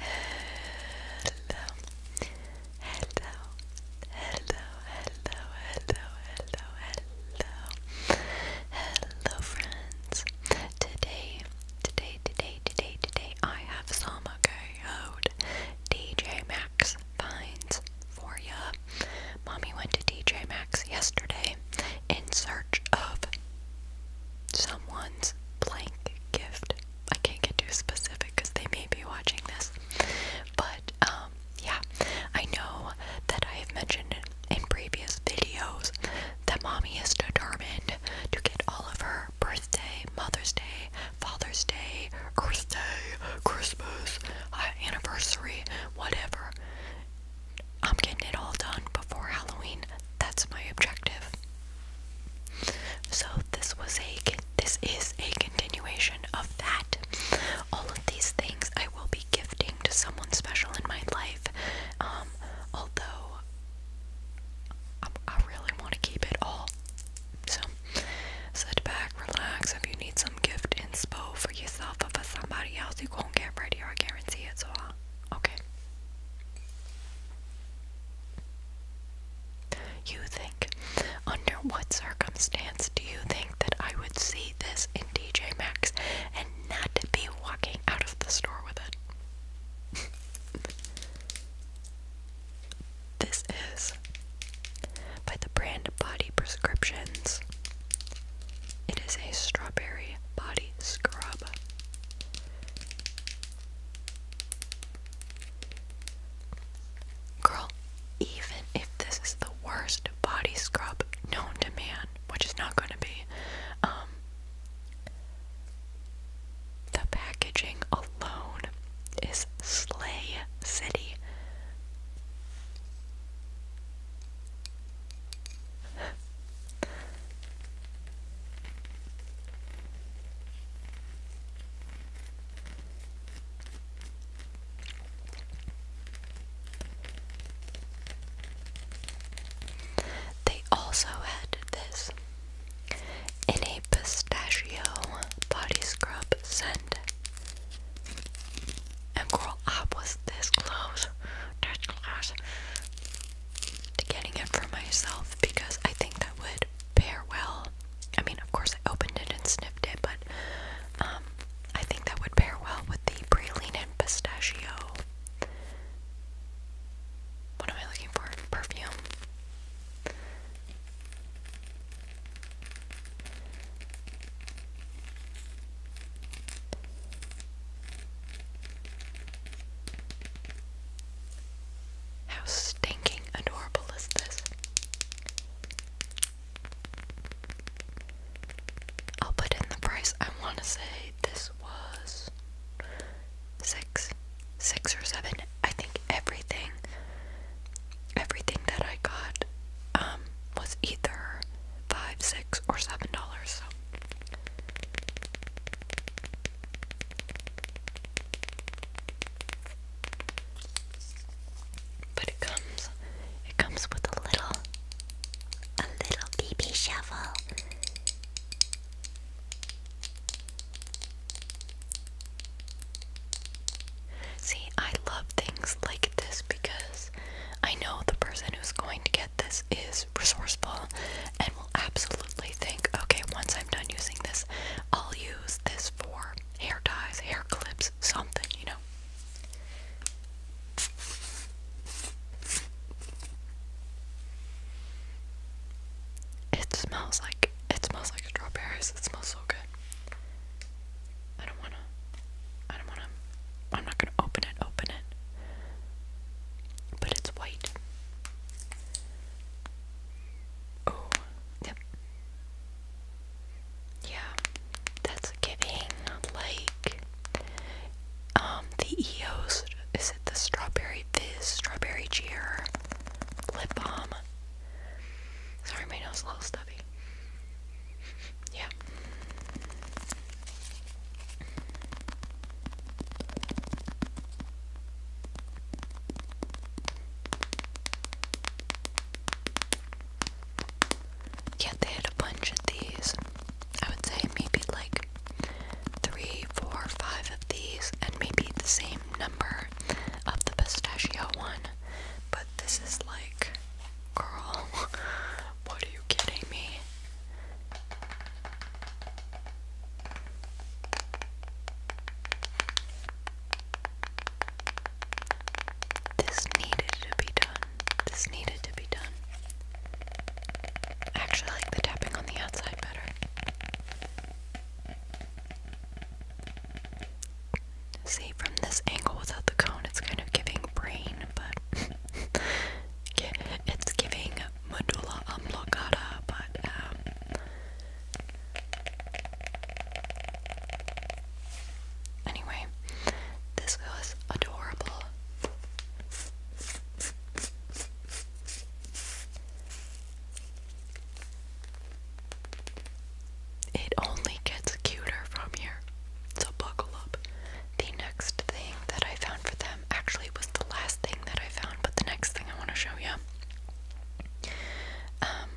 Hello, hello, hello, hello, hello, hello, hello, hello, friends. Today, today, today, today, today, I have some out. DJ Max finds for ya. Mommy went to DJ Max yesterday in search of someone's blank gift I can't get too specific because they may be watching this. But um, yeah, I know that I have mentioned in previous videos that mommy is determined to get all of her birthday, Mother's Day, Father's Day, Earth Day, Christmas, anniversary, whatever. I'm getting it all done before Halloween. That's my objective. So this was a this is a continuation of that. All of these things I will be gifting to someone special in my life. Um, although um, I, really want to keep it all. So sit back, relax. If you need some gift inspo for yourself or for somebody else, you won't get ready. I guarantee it. So uh, okay. You think, under what circumstance do you think that I would see this in TJ Maxx and not be walking out of the store with it? this is by the brand Body Prescriptions. It is a strawberry body scrub. Girl, even if this is the worst body scrub known to man, which is not going to be, um, the packaging alone is Slay City. They also had this in a pistachio body scrub scent. And girl, I was this close to getting it for myself because I think that would did well. I mean, of course, I opened it and sniffed it, but um, I think that would pair well with the praline and pistachio. What am I looking for? Perfume. How stinking adorable is this? I'll put in the price. I want to say this was six, six or seven. I think everything, everything that I got, um, was either five, six, or seven dollars. But it comes it comes with a little a little BB shovel. See, I love things like this because I know the person who's going to get this is resourceful, and will absolutely think, okay, once I'm done using this, I'll use this for hair ties, hair clips, something, you know. It smells like it smells like strawberries. It smells so good. I don't wanna I don't wanna I'm not gonna open it, open it. But it's white. Oh, yep. Yeah, that's giving like um the EOS. Is it the Strawberry Fizz, Strawberry Cheer lip balm? Sorry, my nose a little stuffy. Yeah. Yeah, they had a bunch of these. I would say maybe like three, four, five of these, and maybe the same number of the pistachio one. But this is like, girl, what are you kidding me? This needed to be done. This needed to be done. I actually like the tapping on the outside better. See, from this angle without the cone, it's kind of giving brain, but it's giving medulla oblongata, but um, anyway, this was adorable. It only gets cuter from here, so buckle up. The next thing that I found for them actually was the last thing that I found, but the next thing I want to show you. Um,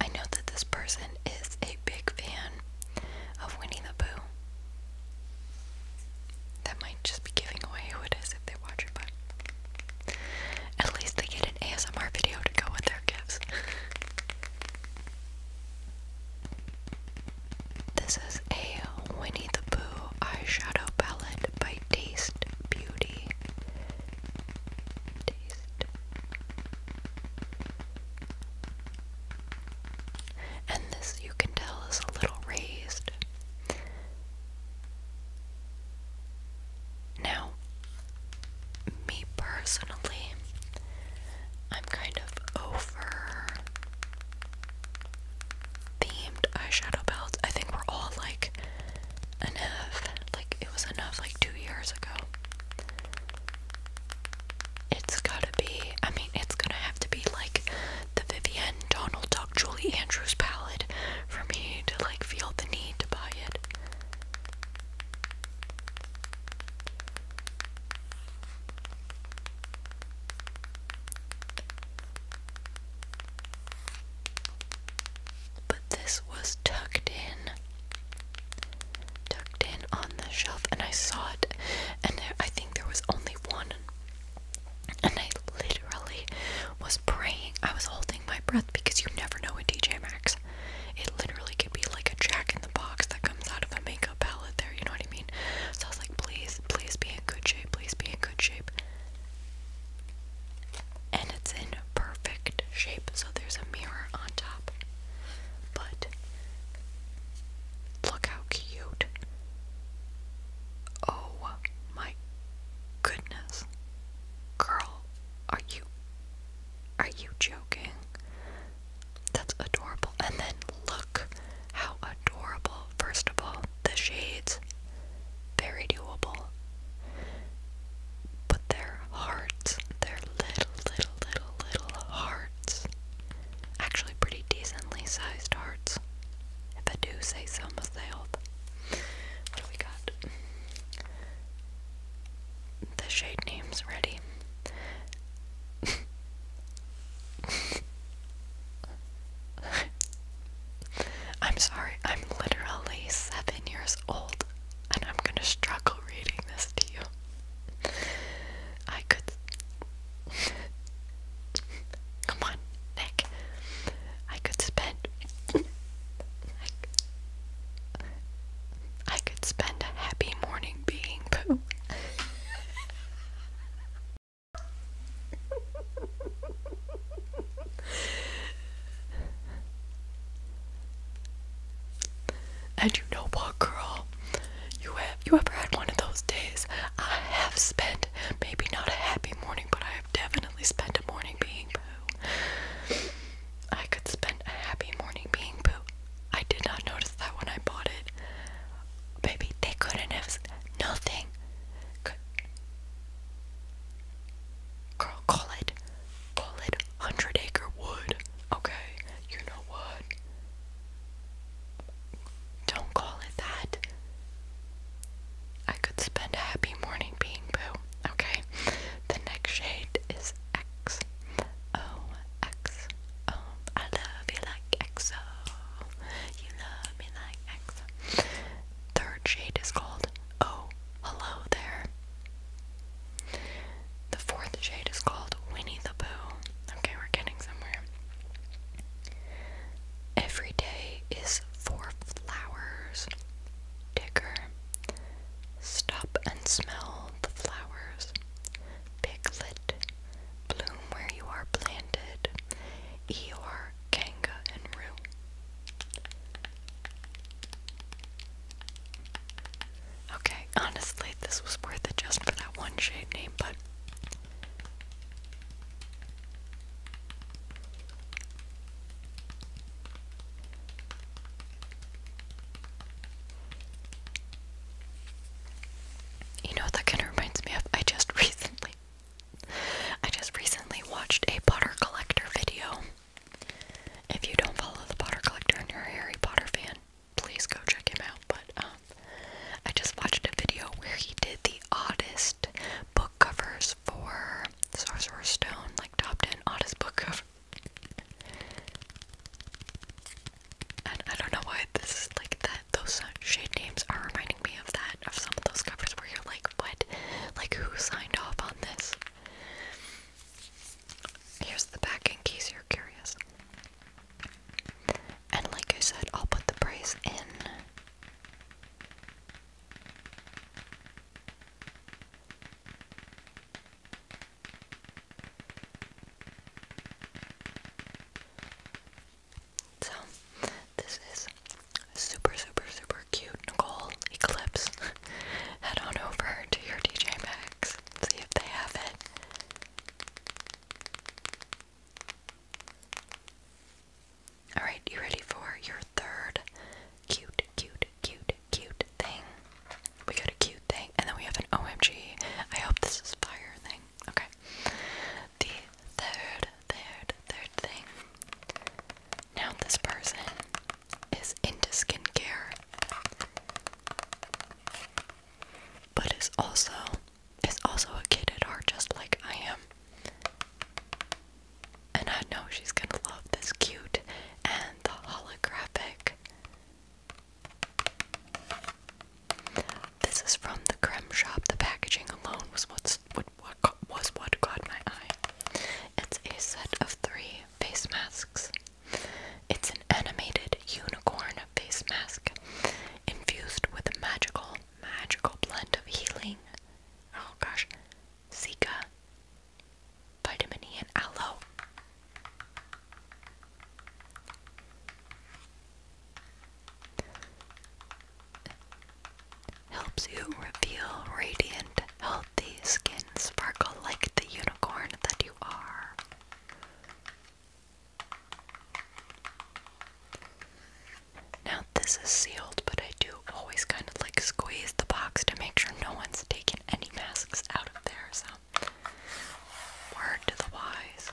I know that this person is a big fan of Winnie the Pooh. That might just be giving away who it is if they watch it, but at least they get an ASMR video to go with their gifts. this is a Winnie the Pooh eyeshadow palette by Daisy. Beauty. Taste. And this, you can tell, is a little raised. Now, me personally, I'm kind of over themed eyeshadow palettes. I think we're all like enough. Like it was enough like two years ago. It's gotta be. I mean, it's gonna have to be like the Vivienne Donald Duck Julie Andrews palette for me to like feel the need to buy it. But this was tucked in, tucked in on the shelf, and I saw it, and there, I think there was only one. And I literally was praying. I was holding my breath because you never know with DJ Max. It literally could be like a jack in the box that comes out of a makeup palette there, you know what I mean? So I was like, please, please be in good shape, please be in good shape and it's in perfect shape, so there's a mirror on top. But look how cute! Oh my goodness, girl, are you are you joking? That's adorable. And then look how adorable, first of all, the shades, very doable. But their hearts, their little, little, little, little hearts, actually pretty decently sized hearts, if I do say so myself. we got? The shade name's ready. I'm sorry, I'm literally seven years old and I'm gonna struggle reading this to you. I could. Come on, Nick. I could spend. I, could spend a happy morning being pooh. and you know what, girl? You have you ever had one of those days? I have spent maybe not a happy morning, but I have definitely spent a morning being poo. I could spend a happy morning being poo. I did not notice that when I bought it. Baby, they couldn't have nothing. Girl, call it, call it Hundred Acre Wood. Okay, you know what? Don't call it that. I could spend a happy morning being boo. Okay, the next shade is X. Oh, oh, love you like XO. You love me like XO third shade is called Oh Hello There. The fourth shade is called Winnie the Pooh. Okay, we're getting somewhere. Every day is for flowers. Digger. Stop and smell the flowers. Piglet. Bloom where you are planted. Eeyore. Kanga and Rue. Okay, honestly, this was worth it just for that one shade name, but. You know, that kind of reminds me of. I just recently I just recently watched a Potter Collector video. If you don't follow the Potter Collector and you're a Harry Potter fan, please go check him out. But um, I just watched a video where he did the oddest book covers for Sorcerer's Stone, like top 10 oddest book cover. And I don't know why this is like that. Those shade names are reminding me of that, of some of those covers where you're like, like, Like, who signed off on this? Here's the back in case you're curious. And like I said, I'll put the price in. So this is super super super cute Nicole Eclipse. Head on over to your DJ Maxx, see if they have it. Alright, you ready for your third cute, cute, cute, cute thing? We got a cute thing, and then we have an OMG. I hope this is fire thing. Okay. The third, third, third thing. Now this person is into skincare, but is also is also a kid at heart, just like I am. And I know she's gonna love this cute and holographic. This is from the creme shop. The packaging alone was what what, what was what caught my eye. It's a set of three face masks. It's an animated unicorn face mask infused with a magical, magical blend of healing. Oh gosh, Zika, vitamin E, and aloe helps you reveal radiant, healthy skin sparkle like the unicorn that you are. Now, this is sealed, but I do always kind of like squeeze the box to make sure no one's taken any masks out of there, so word to the wise.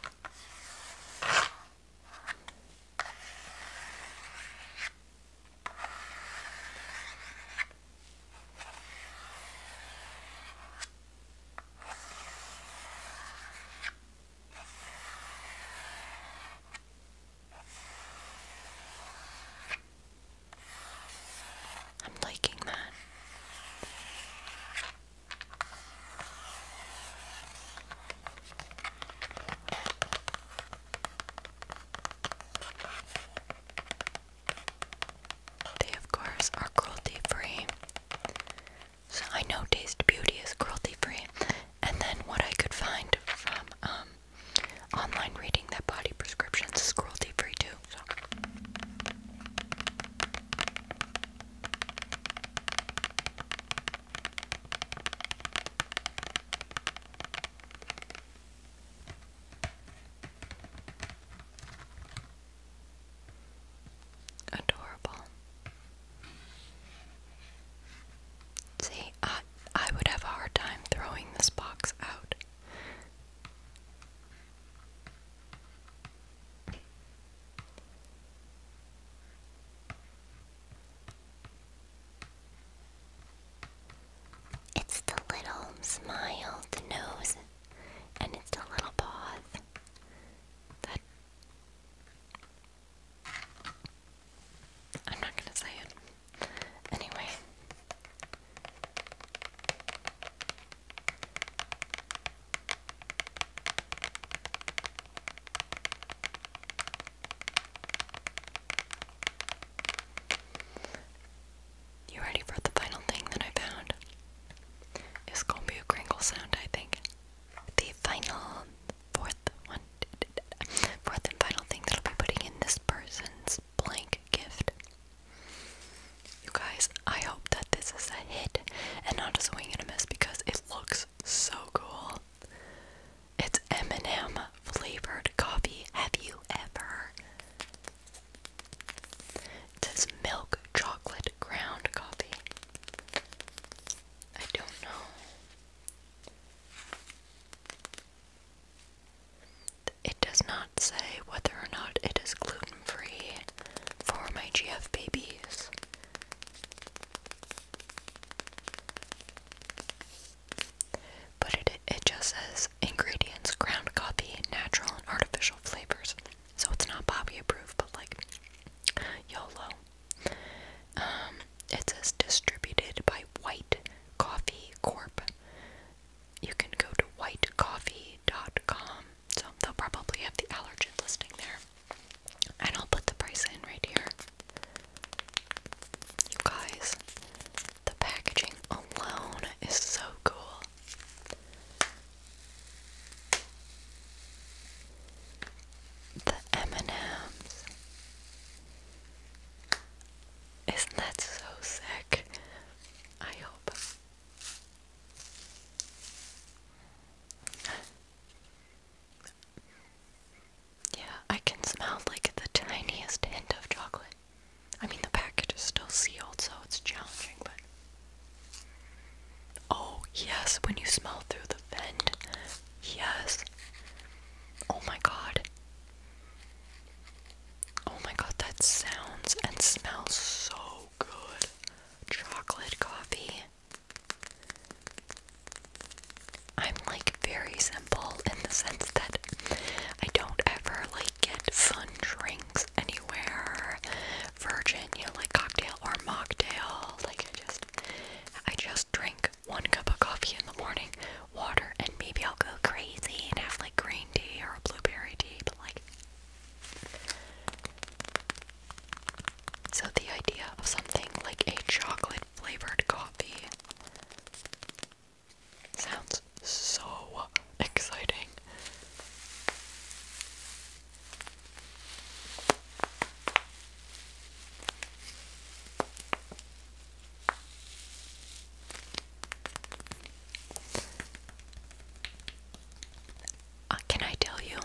I'm liking that. They, of course, are cruelty free. So I know Taste Beauty is cruelty free. And then what I could find from um, online reading that body prescriptions is cruelty free too. Adorable. See, I I would have a hard time throwing this box out. It's the little smile, the nose, and it's the little paws. That I'm not gonna say it. Anyway. You ready for the final thing that I found? It's gonna be a crinkle sound, I think. The final fourth one, fourth and final thing that I'll be putting in this person's blank gift. You guys, I hope that this is a hit and not a swing and a miss because it looks so cool. It's M&M flavored coffee. Have you ever? It says milk chocolate ground coffee. I don't know. It does not say whether or not it is gluten free for my GF babies. But it just says ingredients, ground coffee, natural and artificial flavors. So it's not Bobby approved, but like YOLO. Um, it says distributed by White Coffee Corp. You can go to whitecoffee.com. So they'll probably have the allergen listing there. And I'll put the price in right here. You guys, the packaging alone is so cool. The m ms Isn't that so sick? I hope. Yeah, I can smell like the tiniest hint of chocolate. I mean, the package is still sealed, so it's challenging, but. Oh, yes, when you smell through the vent. Yes. Oh my god. Oh my god, that sounds and smells so good. Chocolate coffee. I'm like very simple in the sense that I don't ever like get fun drinks anywhere. Virgin, you know, like cocktail or mocktail. Like just I just drink one cup of coffee in the morning, water, and maybe I'll go crazy and have like green tea or a blueberry tea, but like so, the idea of something like a chocolate flavored coffee sounds so exciting. Uh, can I tell you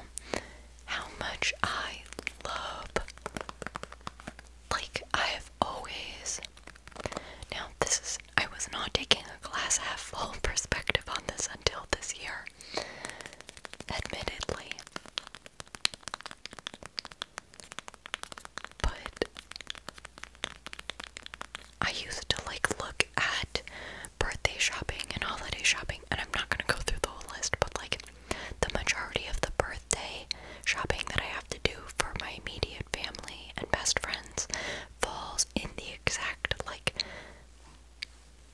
how much I love like, I have always. Now, this is. I was not taking a glass half full perspective on this until this year. Admittedly. But. I used to, like, look at birthday shopping and holiday shopping, and I'm not gonna go through the whole list, but, like, the majority of the birthday shopping that I have to do for my immediate family and best friends falls in the exact like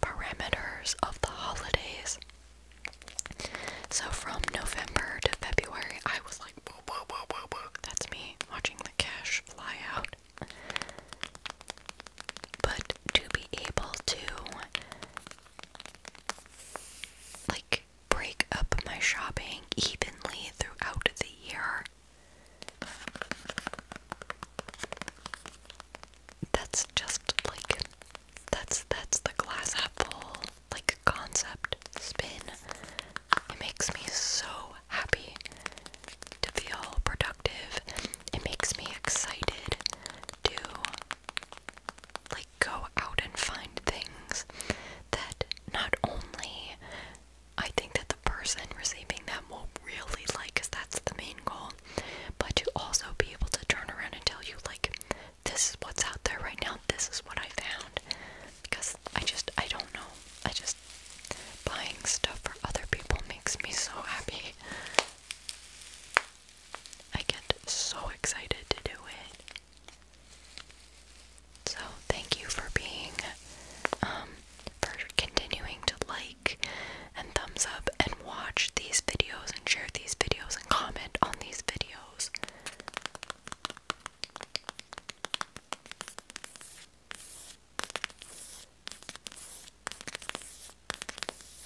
parameters of the holidays. So from November to February, I was like, whoa, whoa, whoa, whoa, whoa. That's me watching the cash fly out. But to be able to like break up my shopping evenly throughout the year. That's just like that's that's the glass apple like concept spin. It makes me so happy to feel productive. It makes me excited to like go out and find things that not only I think that the person receiving them will really like because that's the main goal, but to also be able to turn around and tell you like this is what's out there right now, this is what I found because I just I don't know. I just buying stuff for other people makes me so happy. I get so excited to do it. So, thank you for being, um, for continuing to like and thumbs up and watch these videos and share these videos and comment on these videos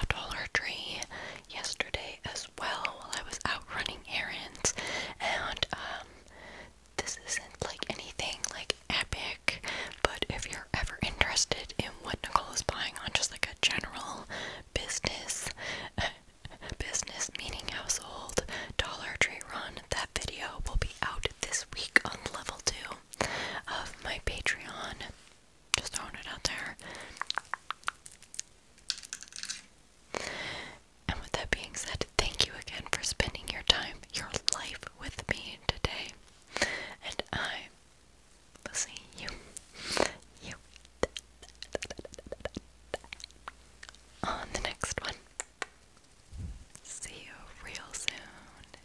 a Dollar Tree yesterday as well while I was out running errands, and um, this isn't like anything like epic, but if you're ever interested in what Nicole is buying on just like a general business, business meaning household Dollar Tree run, that video will be out this week on level two of my Patreon. Just throwing it out there. And with that being said, thank you again for spending your time, your life with me today. And I will see you, you, on the next one. See you real soon.